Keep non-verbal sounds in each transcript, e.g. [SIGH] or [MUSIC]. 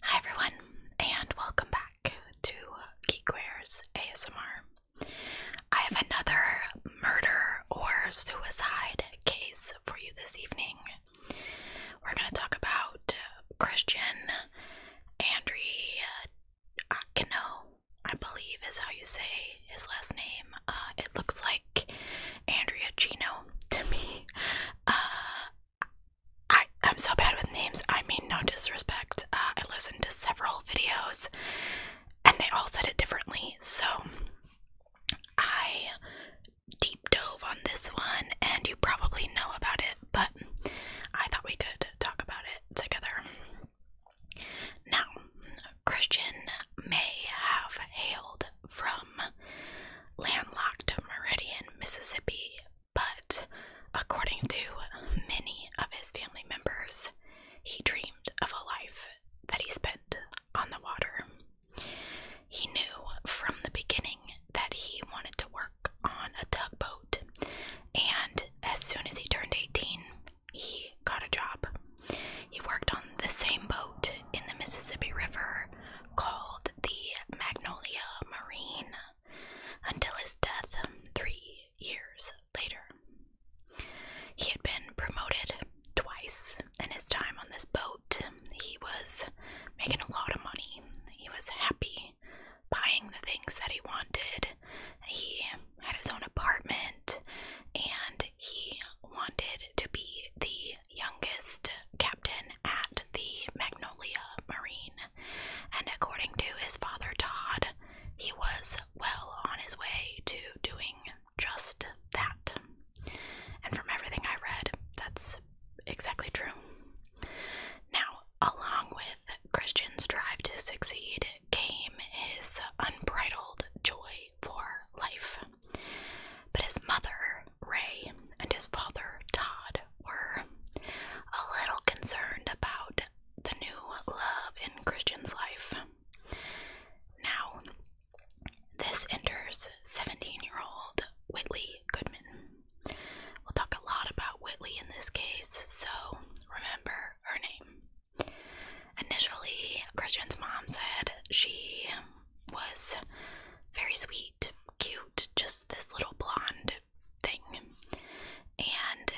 Hi everyone, and welcome back to Geekware's ASMR. I have another murder or suicide case for you this evening. We're going to talk about Christian Andrea Gino. I believe is how you say his last name. Uh, it looks like Andrea Gino to me. Uh, I am so bad with names. I mean no disrespect. Uh, I listened to several videos and they all said it differently. So I deep dove on this one and you probably know about it, but I thought we could talk about it together. Now, Christian may have hailed from landlocked Meridian, Mississippi, but according to many of his family members, he dreamed of a life that he spent on the water. He knew from the beginning that he wanted to work on a tugboat, and as soon as he turned 18, he got a job. He worked on the same boat in the Mississippi River called the Magnolia Marine until his death three years later. He had been promoted twice in his time on this boat. He was making a lot of money. He was happy buying the things that he wanted. He had his own apartment and he wanted to be the youngest captain at the Magnolia Marine, and according to his father Todd, he was well on his way to doing just that. And from everything I read, that's exactly true. Now, along with Christian's drive to succeed came his unbridled joy for life. But his mother Ray, and his father, Todd, were a little concerned about the new love in Christian's life. Now, this enters 17 year old Whitley Goodman. We'll talk a lot about Whitley in this case, so remember her name. Initially, Christian's mom said she was very sweet, cute, just this little blonde thing. And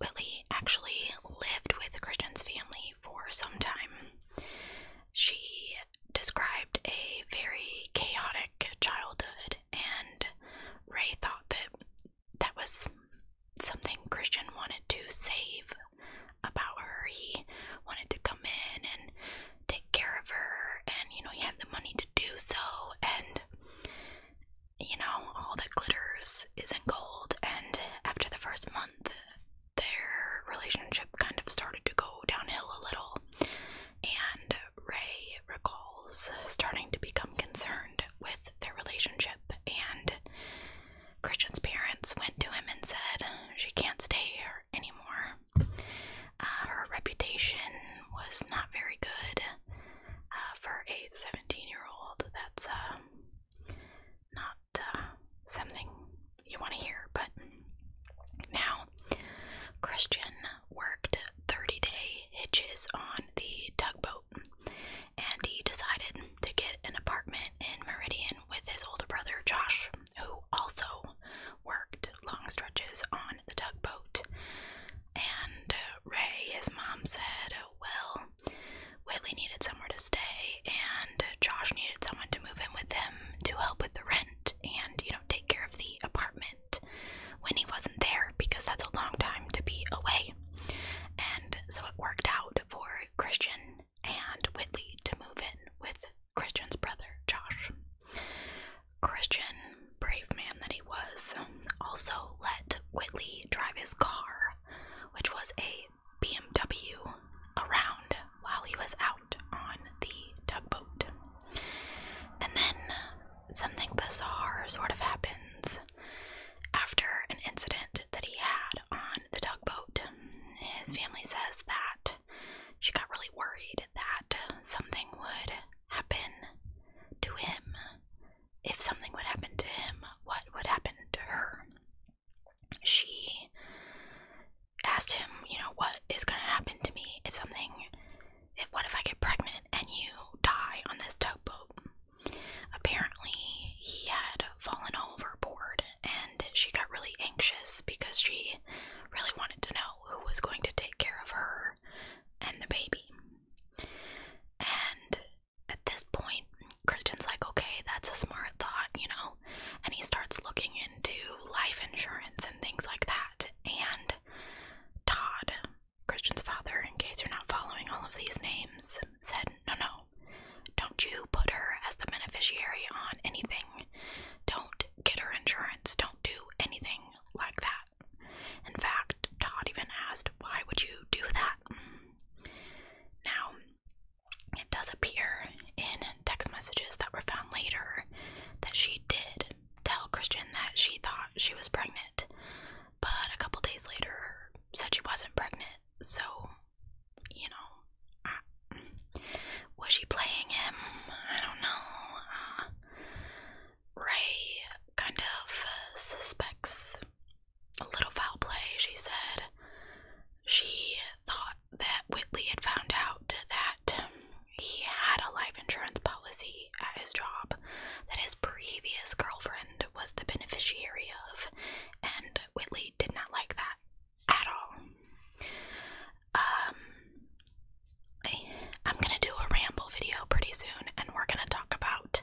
Whitley actually lived with Christian's family for some time. She described a very chaotic childhood, and Ray thought that that was something Christian wanted to save about her. He wanted to come in and take care of her and you know you have the money to do so and you know all that glitters isn't gold and after the first month their relationship kind of started to go downhill a little and Ray recalls starting to become concerned with their relationship and Christian's parents went to him and said she can't stay here anymore uh, her reputation was not very good uh, for a 17 year old. That's uh, not something you want to hear, but now Christian worked 30 day hitches on the tugboat and he decided to get an apartment in Meridian with his older brother Josh, who also worked long stretches on the tugboat. And uh, Ray, his mom, said, Well, Whitley needed somewhere to stay, and Josh needed someone to move in with him to help with the rent and, you know, take care of the apartment when he wasn't there because that's a long time to be away. And so it worked out for Christian and Whitley to move in with Christian's brother, Josh. Christian, brave man that he was, also let Whitley drive his car, which was a BMW, around while he was out on the tugboat. And then something bizarre sort of happens. After an incident that he had on the tugboat, his family says that she got really worried that something would happen to him. If something would happen to him, what would happen to her? She asked him, you know, what is going to happen to me if something, if, what if I get pregnant and you die on this tugboat? Apparently, he had fallen overboard and she got really anxious because she really wanted to know who was going to take care of her and the baby. And at this point, Christian's like, okay, that's a smart thought, you know? And he starts looking into life insurance and things like that. And Todd, Christian's father, in case you're not following all of these names, said, no, no, don't you put her as the beneficiary on anything. Don't get her insurance. Don't do anything like that. In fact, Todd even asked, Why would you do that? Now, it does appear in text messages that were found later that she did tell Christian that she thought she was pregnant, but a couple days later said she wasn't pregnant. So, you know, was she playing him? I don't know. Uh, Ray kind of suspects a little foul play, she said. She thought that Whitley had found out that he had a life insurance policy at his job that his previous girlfriend was the beneficiary of, and Whitley did not like that at all. Um, I'm gonna do a ramble video pretty soon, and we're gonna talk about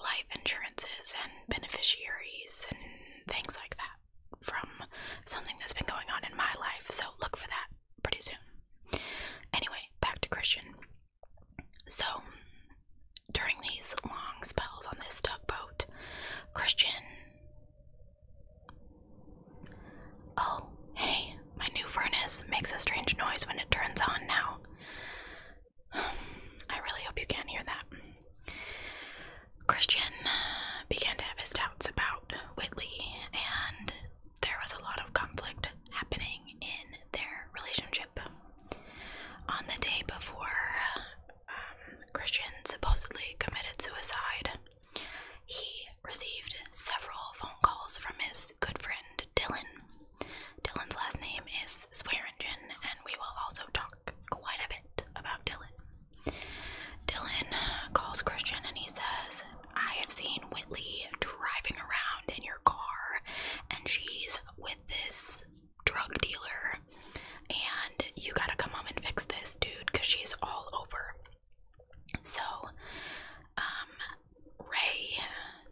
life insurances and beneficiaries and things like that from something that's been going on in my life. So look for that pretty soon. Anyway, back to Christian. So during these long spells on this tugboat, Christian Oh, hey, my new furnace makes a strange noise when it turns on now. [SIGHS] I really hope you can't hear that. Christian uh, began to have his doubts about Whitley, and there was a lot of conflict happening in their relationship. On the day before, um, Christian supposedly committed suicide. He received several phone calls from his good friend Dylan. Dylan's last name is Swearingen, and we will also talk quite a bit about Dylan. Dylan calls Christian and he says, I have seen Whitley driving around in your car, and she's with this drug dealer, and you gotta come home and fix this, dude, because she's all over. So, um, Ray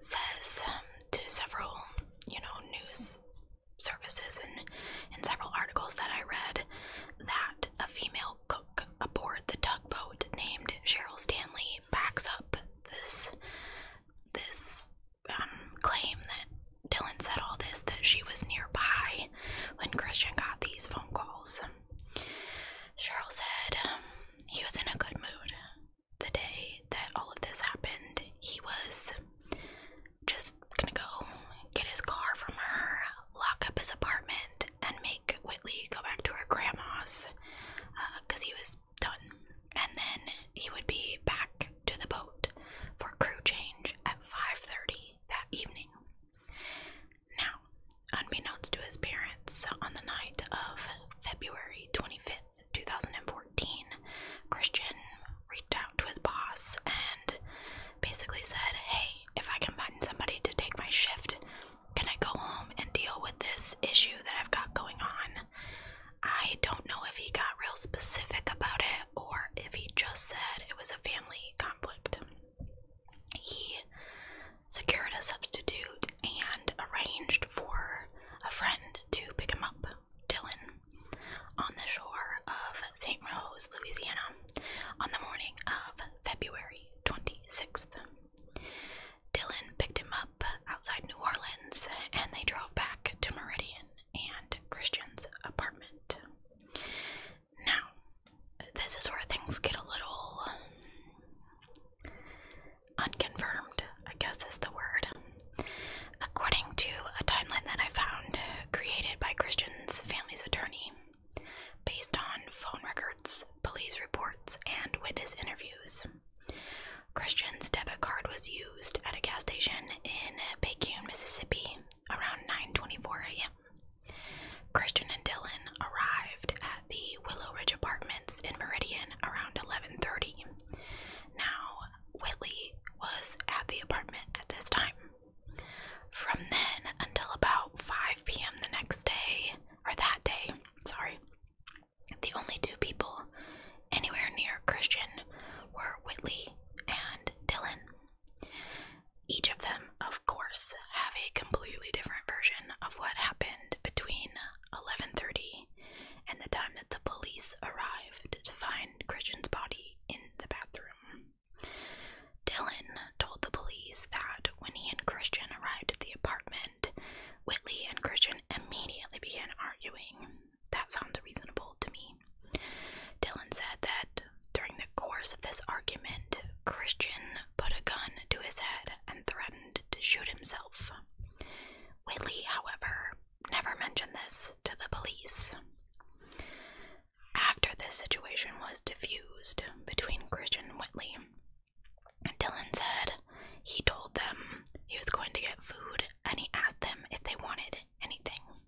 says um, to several, you know, news services and in several articles that I read that a female cook aboard the tugboat named Cheryl Stanley backs up this this um, claim that Dylan said all this that she was nearby when Christian got these phone calls. Cheryl said um, he was in a good mood the day that all of this happened. He was just gonna go get his car from her, lock up his apartment, and make Whitley go back to her grandma's because uh, he was done. And then he would be back to the boat for crew change at 5:30 that evening. Now, unbeknownst to his parents, on the night of February 25th, 2014, Christian reached out to his boss and basically said, Hey, if I can find somebody to take my shift, can I go home and deal with this issue that I've got going on? I don't know if he got real specific about it or if he just said it was a family conflict he secured a substitute and arranged for a friend to pick him up, Dylan, on the shore of St. Rose, Louisiana, on the morning of February 26th. Dylan picked him up outside New Orleans and they drove back to Meridian and Christian's apartment. Now, this is where things get a little unconfirmed, I guess is the word. According to a timeline that I found created by Christian's family's attorney, based on phone records, police reports, and witness interviews, Christian's debit card was used at a gas station in Paycune, Mississippi around 9:24 a.m. Christian and Dylan arrived at the Willow Ridge Apartments in Meridian around 11:30. Now, Whitley was at the apartment at this time. From then until about 5 p.m. the next day, or that day, sorry, the only two people anywhere near Christian were Whitley and Dylan. Each of them, of course, have a completely different version of what happened between 11:30 and the time that the police arrived to find Christian's body in the bathroom. Dylan told the police that when he and Christian arrived at the apartment, Whitley and Christian immediately began arguing. That sounds reasonable to me. Dylan said that during the course of this argument, Christian put a gun to his head and threatened to shoot himself. Whitley, however, never mentioned this to the police. After this situation was diffused between Christian and Whitley, Dylan said he told them he was going to get food and he asked them if they wanted anything.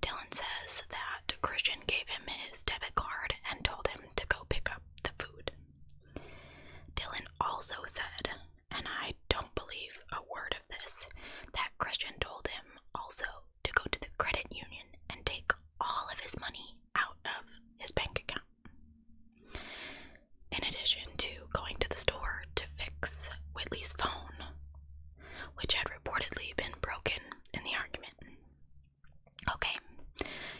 Dylan says that Christian gave him his debit card and told him to go pick up the food. Dylan also said, and I don't believe a word of this, that Christian told him also to go to the credit union and take all of his money out of his bank account. In addition to going to the store to fix Whitley's phone, which had reportedly been broken in the argument, Okay,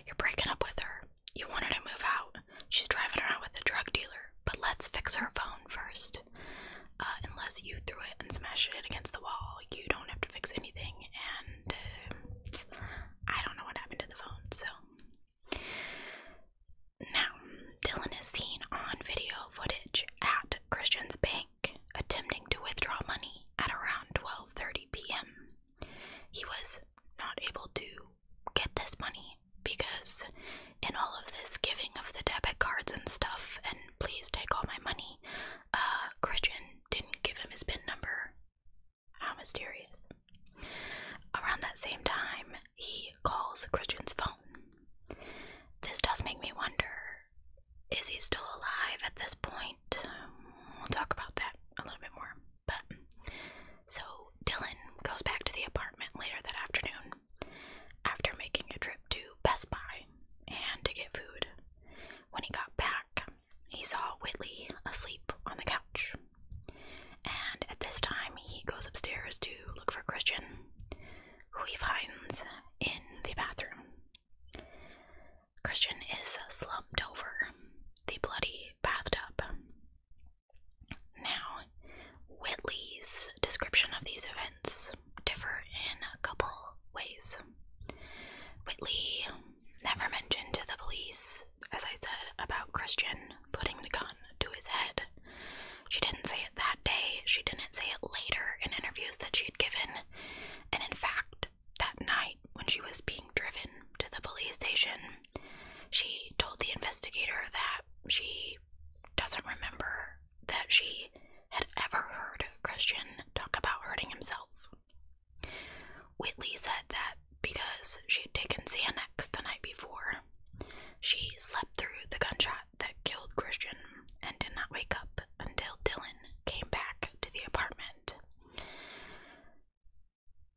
you're breaking up with her. You want her to move out. She's driving around with a drug dealer, but let's fix her phone first. Uh, unless you threw it and smashed it against the wall, you don't have to fix anything. And uh, I don't know what happened to the phone, so. Now, Dylan is seen on video footage at Christian's bank attempting to withdraw money at around 12:30 p.m. He was not able to get this money because in all of this giving of the debit cards and stuff and please take all my money, uh Christian didn't give him his pin number. How mysterious. Around that same time, he calls Christian's phone. This does make me wonder is he still alive at this point? We'll talk about that a little bit more. But so Dylan goes back to the apartment later that afternoon after making a trip to Best Buy and to get food. When he got back, he saw Whitley asleep on the couch. And at this time, he goes upstairs to look for Christian, who he finds in the bathroom. Christian is slumped over the bloody bathtub. Now, Whitley's description of these events differ in a couple ways. Whitley never mentioned to the police, as I said, about Christian putting the gun to his head. She didn't say it that day, she didn't say it later in interviews that she had given, and in fact, that night when she was being driven to the police station, she told the investigator that she doesn't remember that she had ever heard Christian talk about hurting himself. Whitley said that because she had taken Xanax the night before, she slept through the gunshot that killed Christian and did not wake up until Dylan came back to the apartment.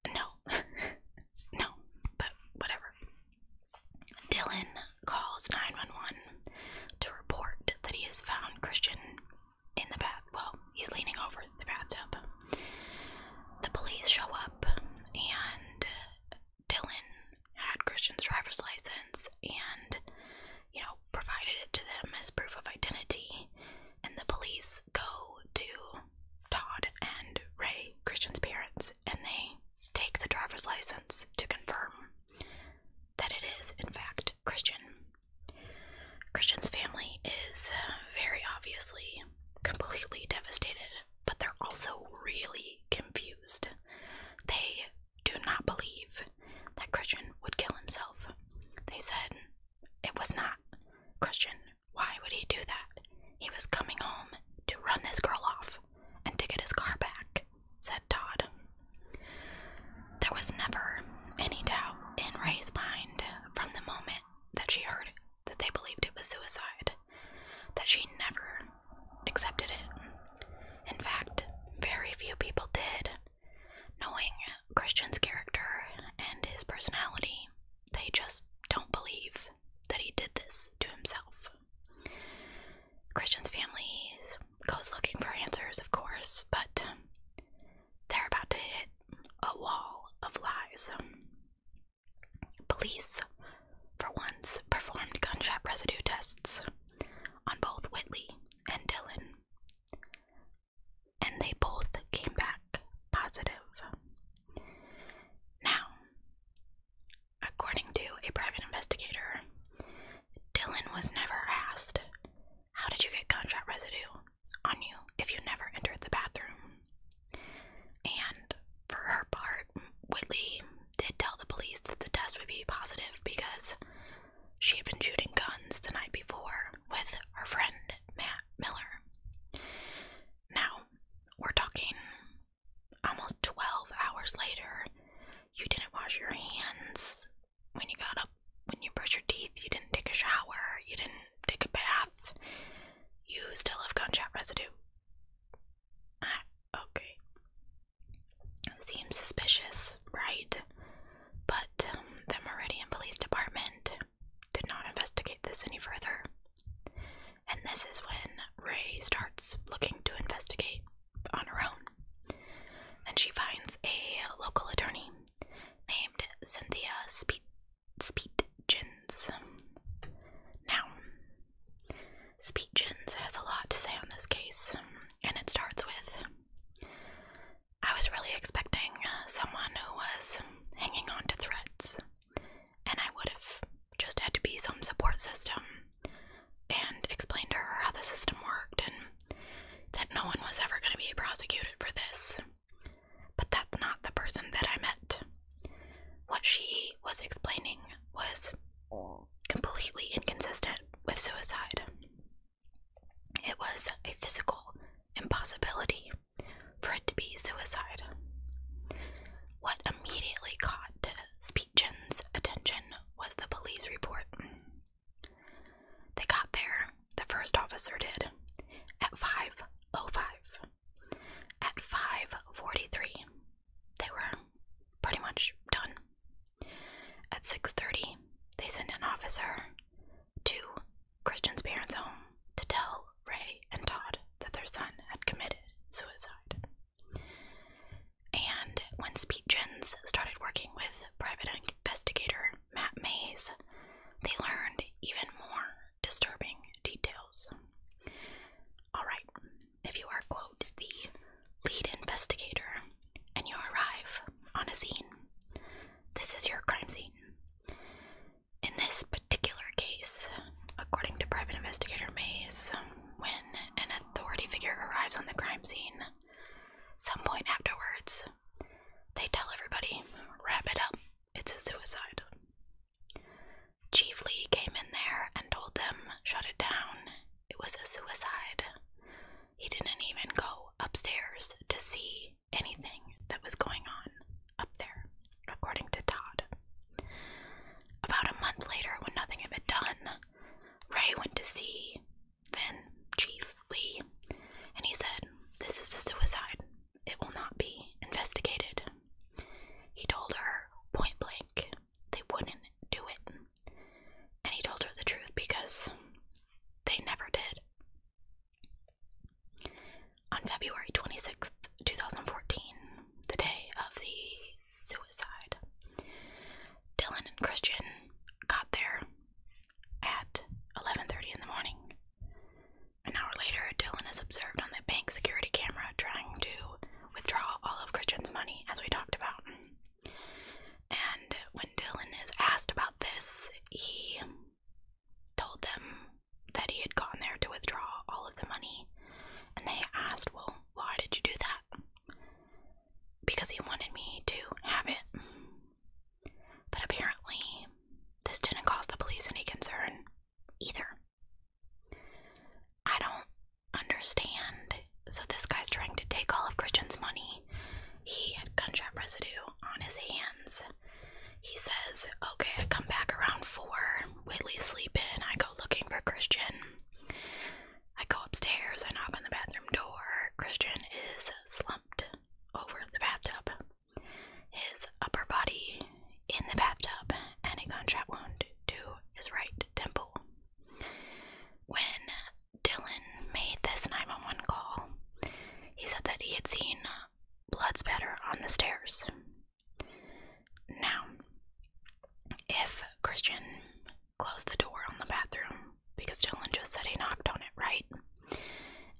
No, [LAUGHS] no, but whatever. Dylan calls 911 to report that he has found Christian in the bath. Well, he's leaning over the bathtub. The police show up, and Dylan had Christian's driver's license and you know, provided it to them as proof of identity. And the police go to Todd and Ray, Christian's parents, and they take the driver's license to confirm that it is, in fact, Christian. Christian's family is uh, very obviously completely devastated, but they're also really confused. They do not believe that Christian would kill himself. They said it was not Christian. Why would he do that? He was coming home to run this girl off and to get his car back, said Todd. There was never any doubt in Ray's mind from the moment that she heard that they believed it was suicide, that she never accepted it. In fact, very few people did. Knowing Christian's character and his personality, they just don't believe that he did this to himself. Christian's family goes looking for answers, of course, but they're about to hit a wall of lies. Police, for once, performed gunshot residue tests on both Whitley and Dylan, and they both came back positive. Now, according to a private investigator, Dylan was never asked, How did you get contract residue on you if you never entered the bathroom? And for her part, Whitley did tell the police that the test would be positive because she had been shooting guns the night before with her friend Matt Miller. Now, we're talking almost 12 hours later. You didn't wash your hands when you got up, when you brushed your teeth, you didn't take a shower, you didn't take a bath. You still have gunshot residue. Ah, okay. Seems suspicious, right? But um, the Meridian Police Department did not investigate this any further. And this is when Ray starts looking to investigate on her own. And she finds a local attorney named Cynthia Speet, Speetjens. Now, Speetjens has a lot to say on this case, and it starts with I was really expecting uh, someone who was hanging onto threads, and I would have just had to be some support system and explain to her how the system worked and that no one was ever going to be prosecuted for this. But that's not the person that I met. What she was explaining was completely inconsistent with suicide. It was a physical impossibility for it to be suicide. What immediately caught Speechin's attention was the police report. They got there, the first officer did, at 5.05. At 5.43, they were pretty much done. At 6:30, they sent an officer to Christian's parents' home to tell Ray and Todd that their son had committed suicide. And when Speed Gens started working with private investigator Matt Mays, they learned even more disturbing details. Alright, if you are, quote, the lead investigator, and you arrive on a scene. This is your crime scene. In this particular case, according to private investigator Mays, when an authority figure arrives on the crime scene, some point afterwards, they tell everybody, wrap it up, it's a suicide. Chief Lee came in there and told them, shut it down, it was a suicide. He didn't even go upstairs to see anything that was going on up there, according to Todd. About a month later, when nothing had been done, Ray went to see then Chief Lee and he said, This is a suicide. It will not be investigated. He told her point blank they wouldn't do it. And he told her the truth because they never did. On February 26th, 2014, the day of the suicide, Dylan and Christian got there at 11:30 in the morning. An hour later, Dylan is observed on the bank security camera trying to withdraw all of Christian's money as we talked about. And when Dylan is asked about this, he told them that he had gone there to withdraw all of the money. And they asked, Well, why did you do that? Because he wanted me to have it. But apparently, this didn't cause the police any concern either. I don't understand. So, this guy's trying to take all of Christian's money. He had gunshot residue on his hands. He says, Okay, I come back around four. Whitley's sleeping. I go looking for Christian. I go upstairs. I knock on the bathroom door. Christian is slumped over the bathtub, his upper body in the bathtub, and a gunshot wound to his right temple. When Dylan made this 911 call. He said that he had seen uh, blood spatter on the stairs. Now, if Christian closed the door on the bathroom, because Dylan just said he knocked on it, right?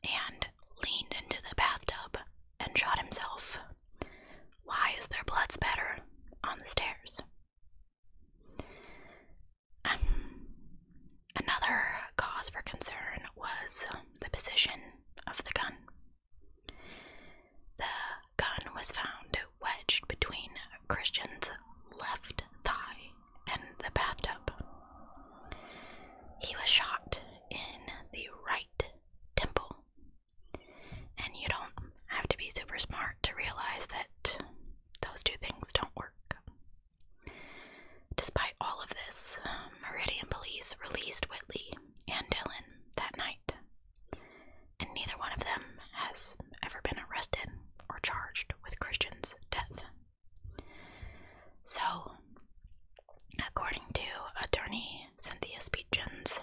And leaned into the bathtub and shot himself, why is there blood spatter on the stairs? another cause for concern was the position of the gun. The gun was found wedged between Christian's left thigh and the bathtub. He was shot in the right temple. And you don't have to be super smart to realize that those two things don't work. Despite all of this, Meridian police released Whitley and Dylan that night, and neither one of them has ever been arrested or charged with Christian's death. So, according to attorney Cynthia Speechens,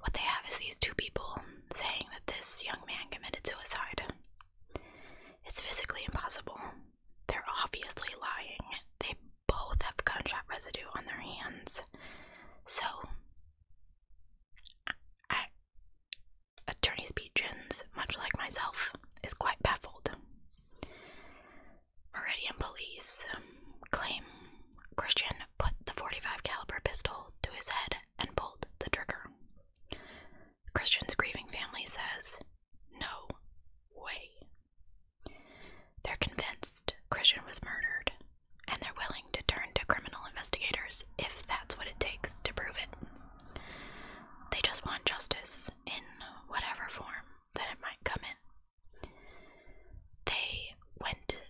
what they have is these two people saying that this young man committed suicide. It's physically impossible. They're obviously lying. They both have gunshot residue on their hands. So, I, Attorney Pigeons, much like myself, is quite baffled. Meridian police um, claim Christian put the 45 caliber pistol to his head and pulled the trigger. Christian's grieving family says, No way. They're convinced Christian was murdered, and they're willing to turn to criminal investigators if that's what it takes to prove it. They just want justice in whatever form that it might come in. They went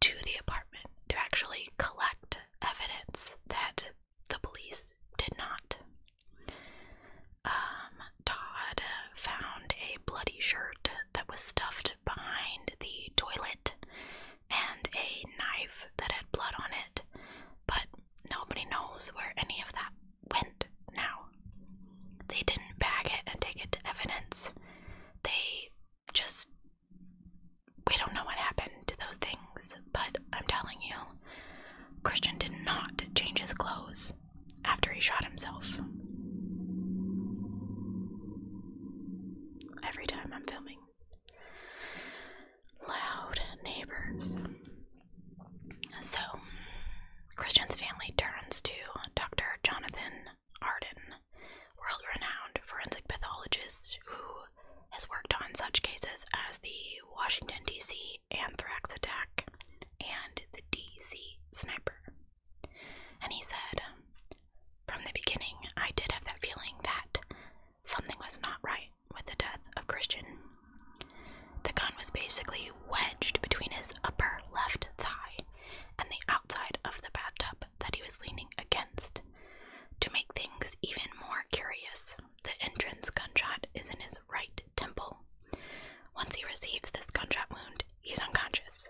to the apartment to actually collect evidence that the police did not. Um, Todd found a bloody shirt that was stuffed behind the toilet and a knife that had blood on it, but nobody knows where any of that went now. They didn't bag it and take it to evidence. They just we don't know what happened to those things, but I'm telling you, Christian did not change his clothes after he shot himself. Every time I'm filming. Loud neighbors. So, Christian's family turns to Dr. Jonathan Arden, world renowned forensic pathologist who has worked on such cases as the Washington, D.C. anthrax attack and the D.C. sniper. And he said, From the beginning, I did have that feeling that something was not right with the death of Christian. The gun was basically wedged between his upper left thigh and the outside of the bathtub that he was leaning against. To make things even more curious, the entrance gunshot is in his right temple. Once he receives this gunshot wound, he's unconscious.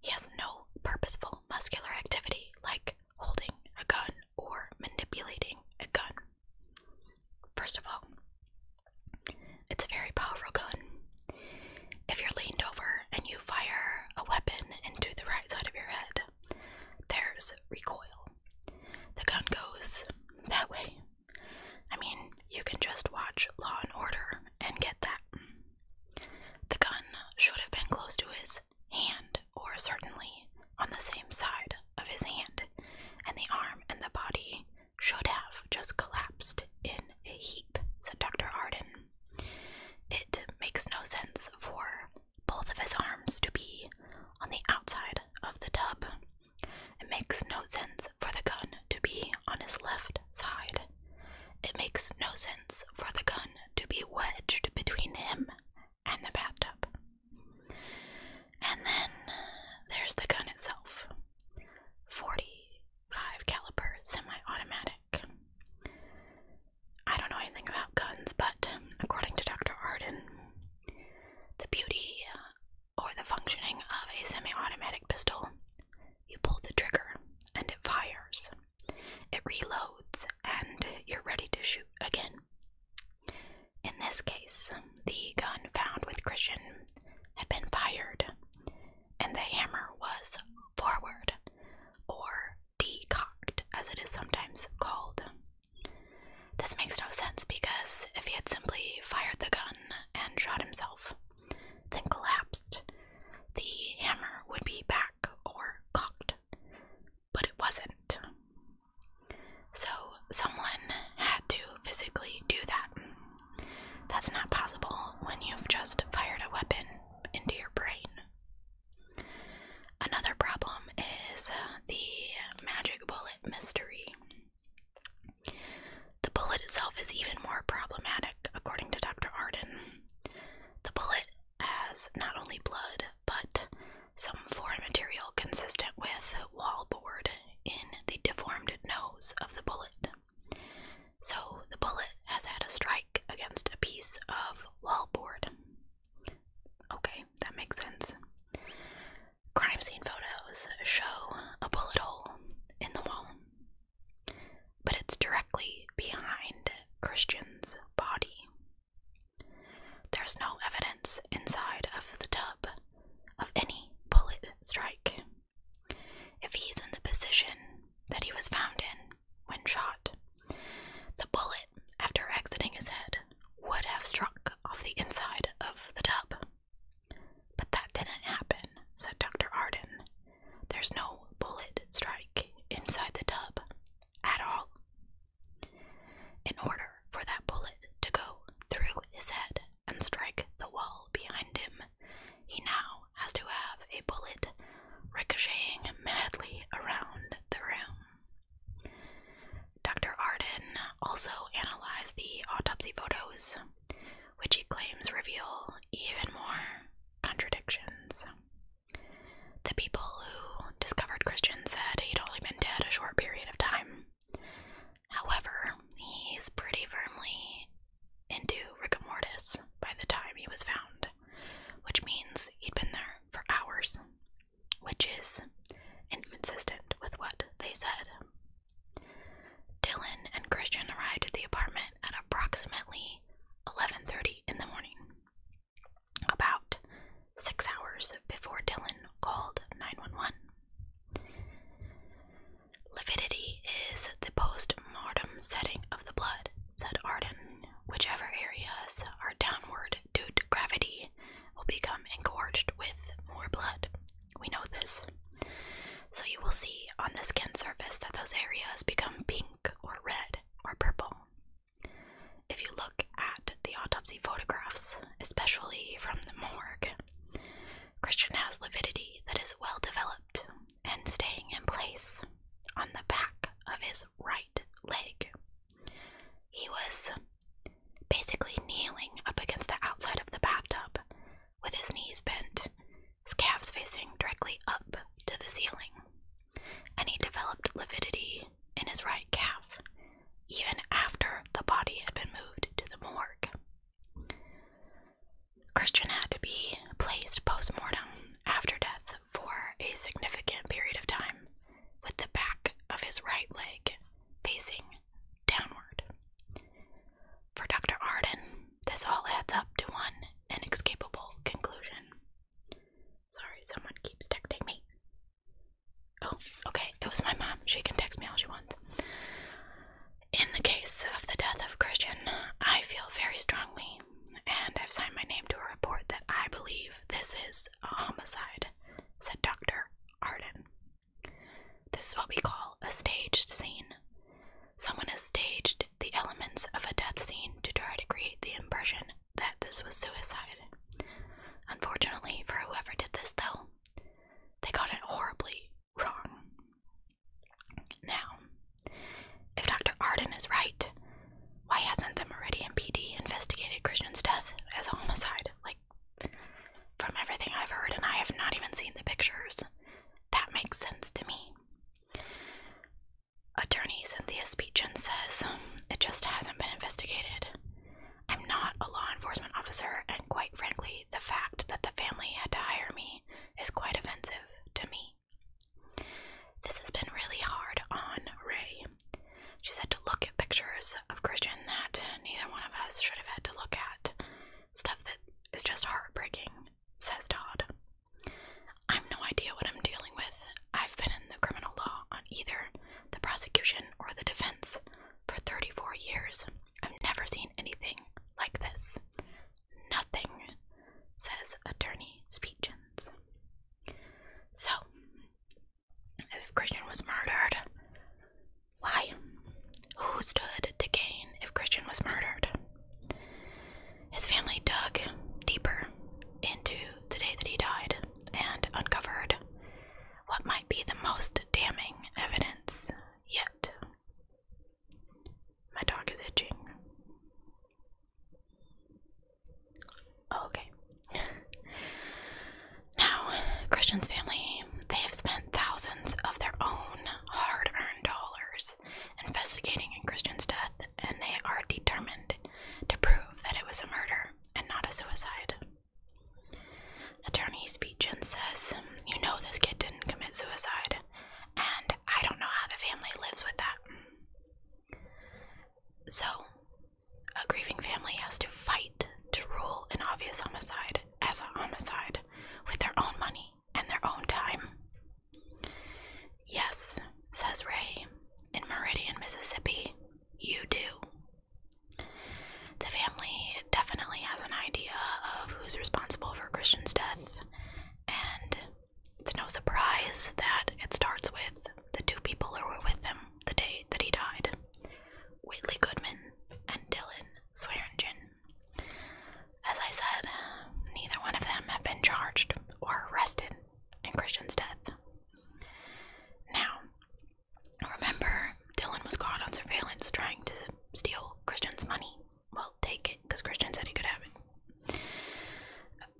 He has no purposeful muscular activity like holding a gun or manipulating a gun. First of all, it's a very powerful gun. If you're leaned over and you fire a weapon into the right side of your head, there's recoil. The gun goes that way. I mean, you can just watch Law and Order and get that. The gun should have been close to his hand, or certainly on the same side of his hand, and the arm and the body should have just collapsed in a heap, said Dr. Arden. It makes no sense for both of his arms to be on the outside of the tub. It makes no sense for the gun to be on his left side. It makes no sense for the gun to be wedged between him and the bathtub. And then there's the gun itself 45 caliber semi automatic. I don't know anything about guns, but according to Dr. Arden, the beauty uh, or the functioning of a semi automatic pistol, you pull the trigger and it fires, it reloads, and you're ready to shoot again. In this case, the gun found with Christian had been fired, and the hammer was forward or decocked, as it is sometimes called. This makes no sense because if he had simply fired the gun and shot himself, then collapsed, the hammer would be back or cocked. But it wasn't. So someone had to physically do that. That's not possible when you've just fired a weapon into your brain. Another problem is the magic bullet mystery. The bullet itself is even more problematic, according to Dr. Arden. The bullet has not only blood, but some foreign material consistent with wallboard in the deformed nose of the bullet. So the bullet has had a strike against a piece of wallboard. Okay, that makes sense. Crime scene photos show a bullet hole in the wall, but it's directly behind Christian's body. There's no evidence inside of the tub of any bullet strike. If he's in the position that he was found in, when shot. The bullet, after exiting his head, would have struck off the inside of the tub. But that didn't happen, said Dr. Arden. There's no bullet strike inside the tub at all. In order for that bullet to go through his head and strike the wall behind him, he now has to have a bullet ricocheting madly around the room. Dr. Arden also analyzed the autopsy photos, which he claims reveal even more contradictions. The people who discovered Christian said he'd only been dead a short period of time. However, he's pretty firmly into rigor mortis by the time he was found which means he'd been there for hours, which is inconsistent with what they said. Dylan and Christian arrived at the apartment at approximately 11:30 in the morning, about 6 hours before Dylan called 911. Lividity is the post-mortem setting of the blood, said Arden. Whichever areas are downward due to gravity will become engorged with more blood. We know this. So you will see on the skin surface that those areas become pink or red or purple. If you look at the autopsy photographs, especially from the morgue, Christian has lividity that is well developed and staying in place on the back of his right leg. He was basically kneeling up against the outside of the bathtub with his knees bent, his calves facing directly up to the ceiling, and he developed lividity in his right calf even after the body had been moved to the morgue. Christian had to be placed post mortem after death for a significant period of time with the back of his right leg facing downward. For Dr. Arden, this all adds up to one inescapable conclusion. Sorry, someone keeps texting me. Oh, okay, it was my mom. She can text me all she wants. In the case of the death of Christian, I feel very strongly and I've signed my name to a report that I believe this is a homicide, said Dr. Arden. This is what we call a staged scene. Someone has staged the elements of a death scene to try to create the impression that this was suicide. Unfortunately for whoever did this, though, they got it horribly wrong. Now, if Dr. Arden is right, why hasn't the Meridian PD investigated Christian's death as a homicide? Like, from everything I've heard, and I have not even seen the pictures, that makes sense to me. Attorney Cynthia Speechin says um, it just hasn't been investigated. I'm not a law enforcement officer, and quite frankly, the fact that the family had to hire me is quite offensive to me. This has been really hard on Ray. She's had to look at pictures of Christian that neither one of us should have had to look at. Stuff that is just heartbreaking, says Todd. I've no idea what I'm dealing with. I've been in the criminal law on either the prosecution or the defense for 34 years. I've never seen anything like this. Nothing, says attorney Speechens. So, if Christian was murdered, why? Who stood to gain if Christian was murdered? His family dug deeper into the day that he died and uncovered what might be the most damning evidence yet. My dog is itching. Oh, okay. now, Christian's family, they have spent thousands of their own hard earned dollars investigating Christian's death, and they are determined to prove that it was a murder and not a suicide. Attorney Speechin says, You know, this kid didn't commit suicide, and I don't know how the family lives with that. So, a grieving family has to fight to rule an obvious homicide as a homicide with their own money and their own time. Yes, says Ray, in Meridian, Mississippi, you do. The family definitely has an idea of who's responsible for Christian's death, and it's no surprise that it starts with the two people who were with him the day that he died Whitley Goodman and Dylan Swearingen. As I said, neither one of them have been charged or arrested in Christian's death. Now, remember, Dylan was caught on surveillance trying to steal Christian's money. Well, take it, because Christian said he could have it.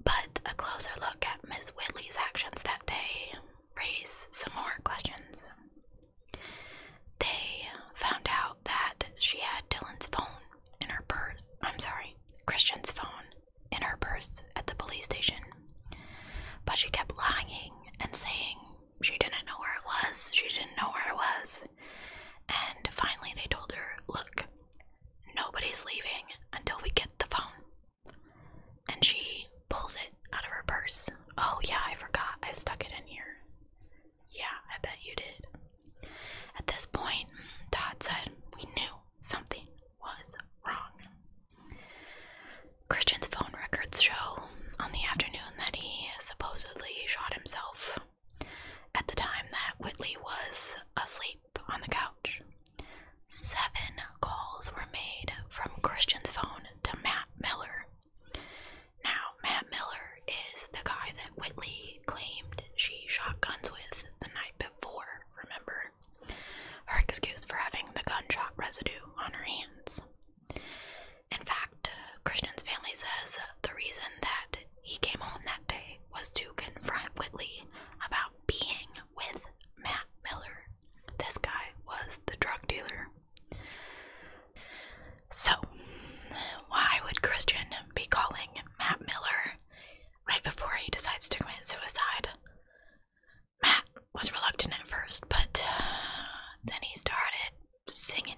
But a closer look at Miss Whitley's actions that day raised some more questions. They found out that she had Dylan's phone in her purse. I'm sorry, Christian's phone in her purse at the police station. But she kept lying and saying she didn't know where it was, she didn't know where it was. And finally, they told her, Look, Nobody's leaving until we get the phone. And she pulls it out of her purse. Oh, yeah, I forgot. I stuck it in here. Yeah, I bet you did. At this point, Todd said we knew something was wrong. Christian's phone records show on the afternoon that he supposedly shot himself. At the time that Whitley was asleep on the couch. Seven calls were made from Christian's phone to Matt Miller. Now, Matt Miller is the guy that Whitley claimed she shot guns with the night before, remember? Her excuse for having the gunshot residue on her hands. In fact, Christian's family says the reason that he came home that day was to confront Whitley about being with Matt Miller. This guy was the drug dealer. So, why would Christian be calling Matt Miller right before he decides to commit suicide? Matt was reluctant at first, but then he started singing.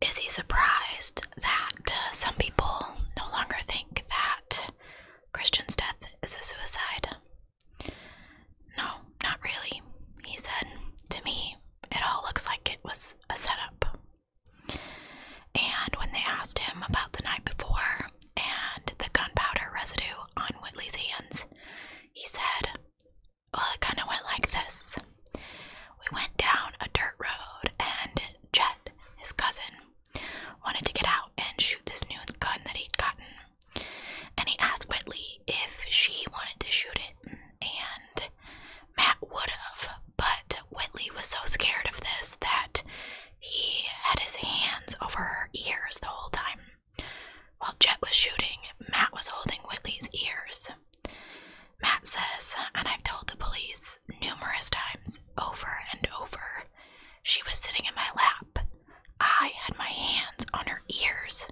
Is he surprised that uh, some people no longer think that Christian's death is a suicide? No, not really, he said. To me, it all looks like it was a setup. And when they asked him about the night before and the gunpowder residue on Whitley's hands, he said, Well, it kind of went like this. We went down a dirt road, and just." his cousin, wanted to get out and shoot this new gun that he'd gotten. And he asked Whitley if she wanted to shoot it, and Matt would have, but Whitley was so scared of this that he had his hands over her ears the whole time. While Jet was shooting, Matt was holding Whitley's ears. Matt says, and I've told the police numerous times, over and over, she was sitting in my lap. I had my hands on her ears,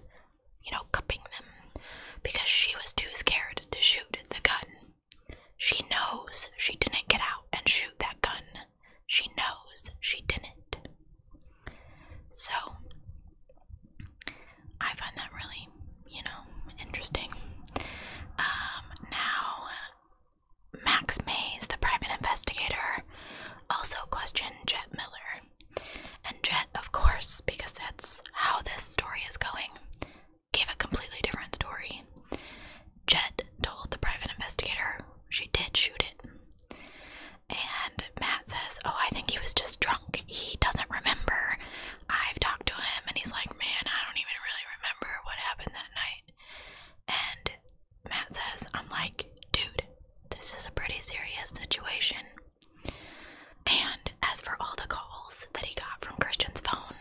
you know, cupping them, because she was too scared to shoot the gun. She knows she didn't get out and shoot that gun. She knows she didn't. So, I find that really you know, interesting. Um, now, Max Mays, the private investigator, also questioned Jet Miller. And Jet, of course, because that's how this story is going, gave a completely different story. Jet told the private investigator she did shoot it. And Matt says, Oh, I think he was just drunk. He doesn't remember. I've talked to him and he's like, man, I don't even really remember what happened that night. And Matt says, I'm like, dude, this is a pretty serious situation. And as for all the calls that he got from Christian's phone,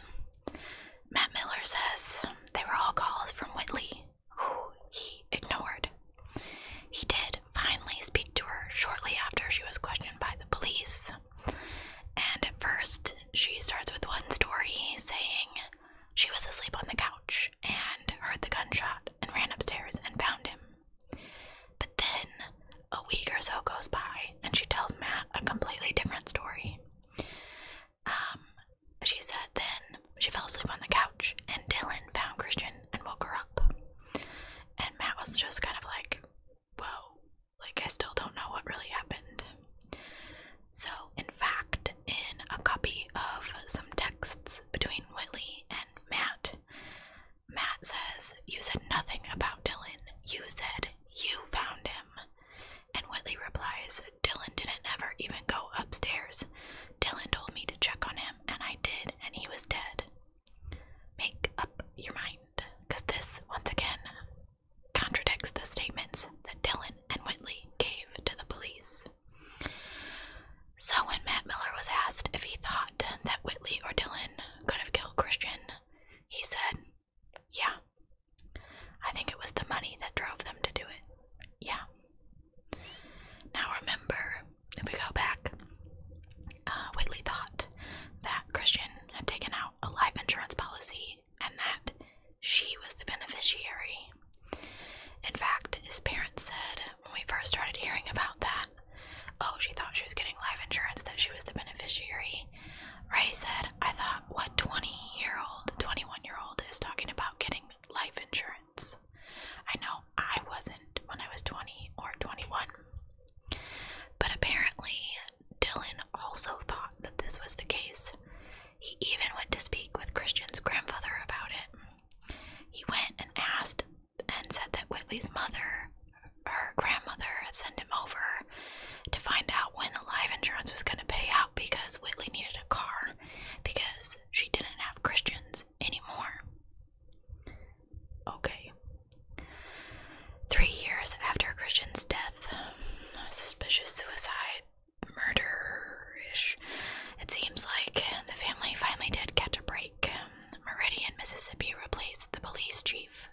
Matt Miller says they were all calls from Whitley, who he ignored. He did finally speak to her shortly after she was questioned by the police, and at first, she starts with one story saying she was asleep on the couch and heard the gunshot and ran upstairs and found him. But then a week or so goes by and she tells Matt a completely different story. Um, she said then she fell asleep on the couch and Dylan found Christian and woke her up. And Matt was just kind of like, whoa, like I still don't know what really happened. So, in fact, in a copy of some texts between Whitley and Matt, Matt says, You said nothing about Dylan. You said you found him. And Whitley replies, Dylan didn't ever even go upstairs. Dylan told me to check on him, and I did, and he was dead. Make up your mind, because this, once again, contradicts the statements that Dylan and Whitley gave to the police. So, when Matt Miller was asked if he thought that Whitley or Dylan could have killed Christian, he said, Yeah. I think it was the money that drove them to do it. Yeah. Now, remember, if we go back, uh, Whitley thought that Christian had taken out a life insurance policy and that she was the beneficiary. In fact, his parents said when we first started hearing about that, oh, she thought she was getting life insurance, that she was the beneficiary. Ray said, I thought, what 20 year old, 21 year old is talking about getting life insurance? I know I wasn't when I was 20 or 21. But apparently, Dylan also thought that this was the case. He even went to speak with Christian's grandfather about it. He went and asked and said that Whitley's mother, her grandmother, had sent him over to find out when the life insurance was going to pay out because Whitley needed a car because she didn't have Christians anymore. Okay, Three years after Christian's death, suspicious suicide, murder ish, it seems like the family finally did get a break. Meridian, Mississippi replaced the police chief,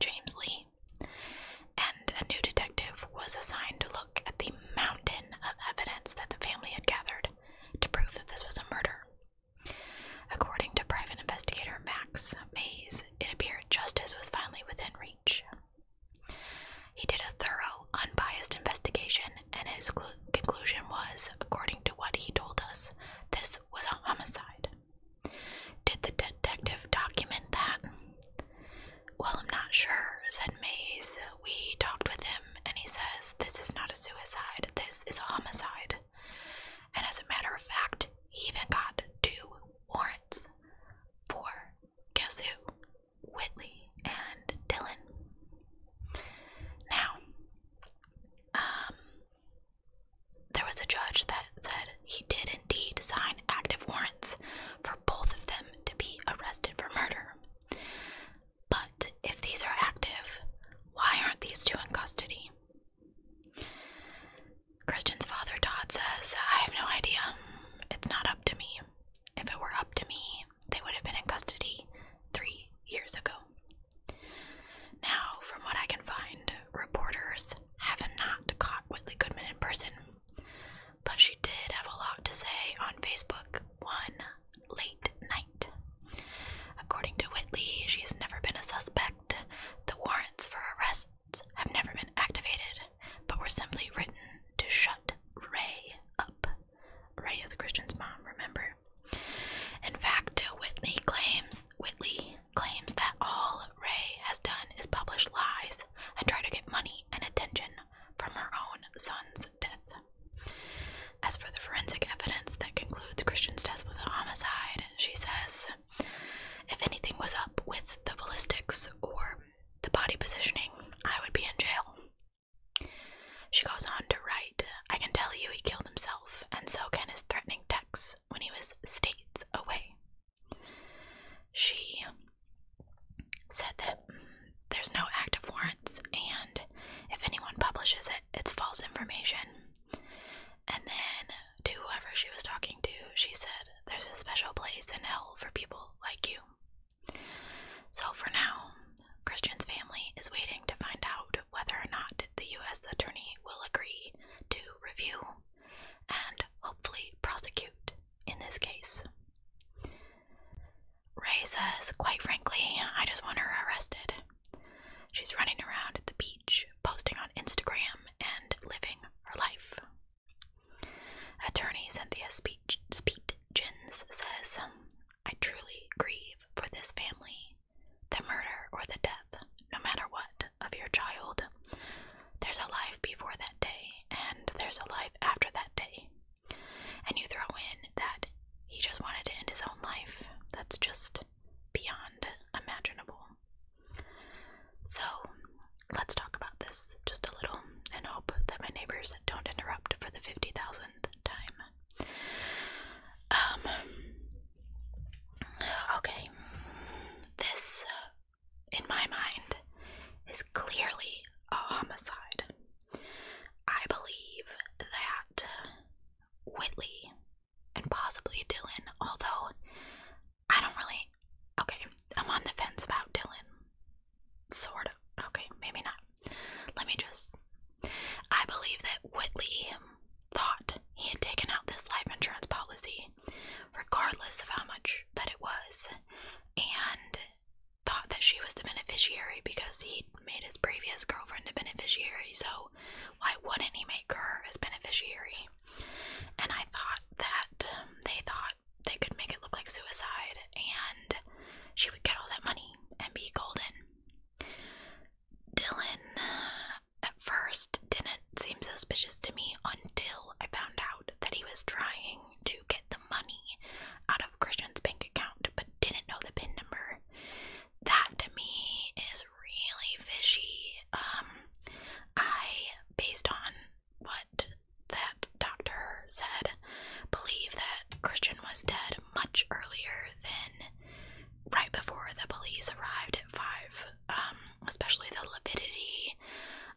James Lee, and a new detective was assigned to look at the mountain of evidence that the family had gathered to prove that this was a murder. According to private investigator Max Mays, it appeared justice was finally within reach. He did a thorough, unbiased investigation, and his conclusion was, according to what he told us, this was a homicide. Did the detective document that? Well, I'm not sure, said Mays. We talked with him, and he says, This is not a suicide, this is a homicide. And as a matter of fact, he even got two warrants for guess who? Whitley and Dylan. Now, um, there was a judge that said he did indeed sign active warrants for both of them to be arrested for murder. But if these are active, why aren't these two in custody? Christian's father, Todd, says, I have no idea. It's not up to me. If it were up to me, they would have been in custody three years ago. Now, from what I can find, reporters have not caught Whitley Goodman in person, but she did have a lot to say on Facebook one late night. According to Whitley, she has never been a suspect. The warrants for arrest have never been activated, but were simply written to shut Ray up. Ray is Christian's mom, remember? In fact, Whitney claims Whitney claims that all Ray has done is publish lies and try to get money and attention from her own son's death. As for the forensic evidence that concludes Christian's death was a homicide, she says if anything was up with the ballistics or the body positioning, I would be in jail. She goes on to write I can tell you he killed himself, and so can his threatening texts when he was states away. She said that mm, there's no active warrants, and if anyone publishes it, it's false information. And then to whoever she was talking to, she said, There's a special place in hell for people like you. So for now, Christian's family is waiting to find out whether or not the U.S. attorney will agree to review and hopefully prosecute in this case. Ray says, Quite frankly, I just want her arrested. She's running around at the beach posting on Instagram, and living her life. Attorney Cynthia Speech, Speechins says, um, I truly grieve for this family, the murder or the death, no matter what, of your child. There's a life before that day, and there's a life after that day. And you throw in that he just wanted to end his own life. That's just beyond imaginable. So let's talk about this just a little and hope that my neighbors don't interrupt for the 50,000th time. Um, okay, this, in my mind, is clearly a homicide. I believe that Whitley and possibly Dylan, although I don't really. Okay, I'm on the fence about Dylan. Sort of. Okay, maybe not. Let me just. I believe that Whitley thought he had taken out this life insurance policy, regardless of how much that it was, and thought that she was the beneficiary because he made his previous girlfriend a beneficiary, so why wouldn't he make her his beneficiary? And I thought that um, they thought they could make it look like suicide and she would get all that money and be golden. Dylan uh, at first didn't seem suspicious to me until I found out that he was trying to get the money out of Christian's bank account but didn't know the PIN number. That to me is really fishy. Um, I, based on what that doctor said, believe that Christian was dead much earlier than right before the police arrived at five. Um, especially the lividity.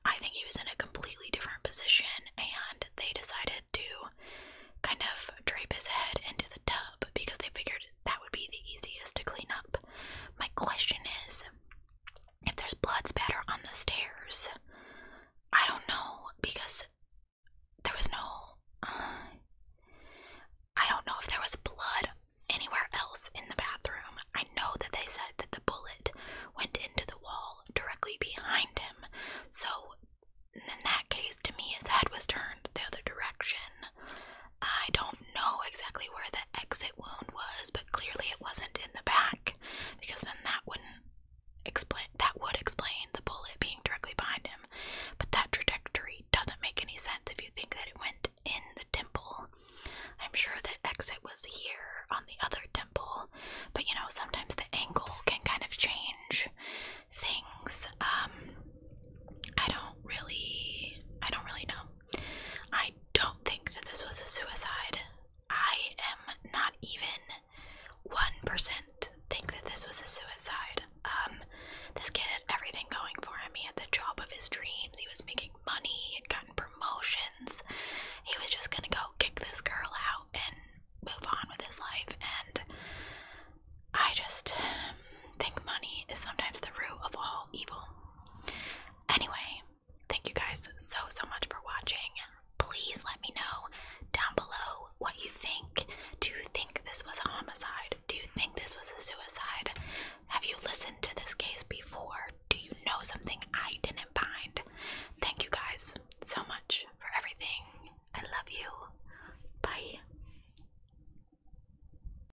I think he was in a completely different position, and they decided to kind of drape his head into the tub because they figured that would be the easiest to clean up. My question is if there's blood spatter on the stairs. I don't know because there was no. Uh, I don't know if there was blood anywhere else in the bathroom. I know that they said that the bullet went into the wall directly behind him. So, in that case, to me, his head was turned the other direction. I don't know exactly where the exit wound was, but clearly it wasn't in the back because then that wouldn't explain that would explain the bullet being directly behind him. But that trajectory doesn't make any sense if you think that it went in the temple. I'm sure that exit was here on the other temple, but you know, sometimes the angle can kind of change things. Um I don't really I don't really know. I don't think that this was a suicide. I am not even 1% think that this was a suicide. Um, this kid had everything going for him. He had the job of his dreams, he was making money, he had gotten promotions. He was just gonna go kick this girl out and move on with his life. And I just think money is sometimes the root of all evil. Anyway, thank you guys so so much for watching. Please let me know down below what you think. Do you think this was a homicide? Do you think this was a suicide? Have you listened to this case before? Do you know something I didn't find? Thank you guys so much for everything. I love you. Bye.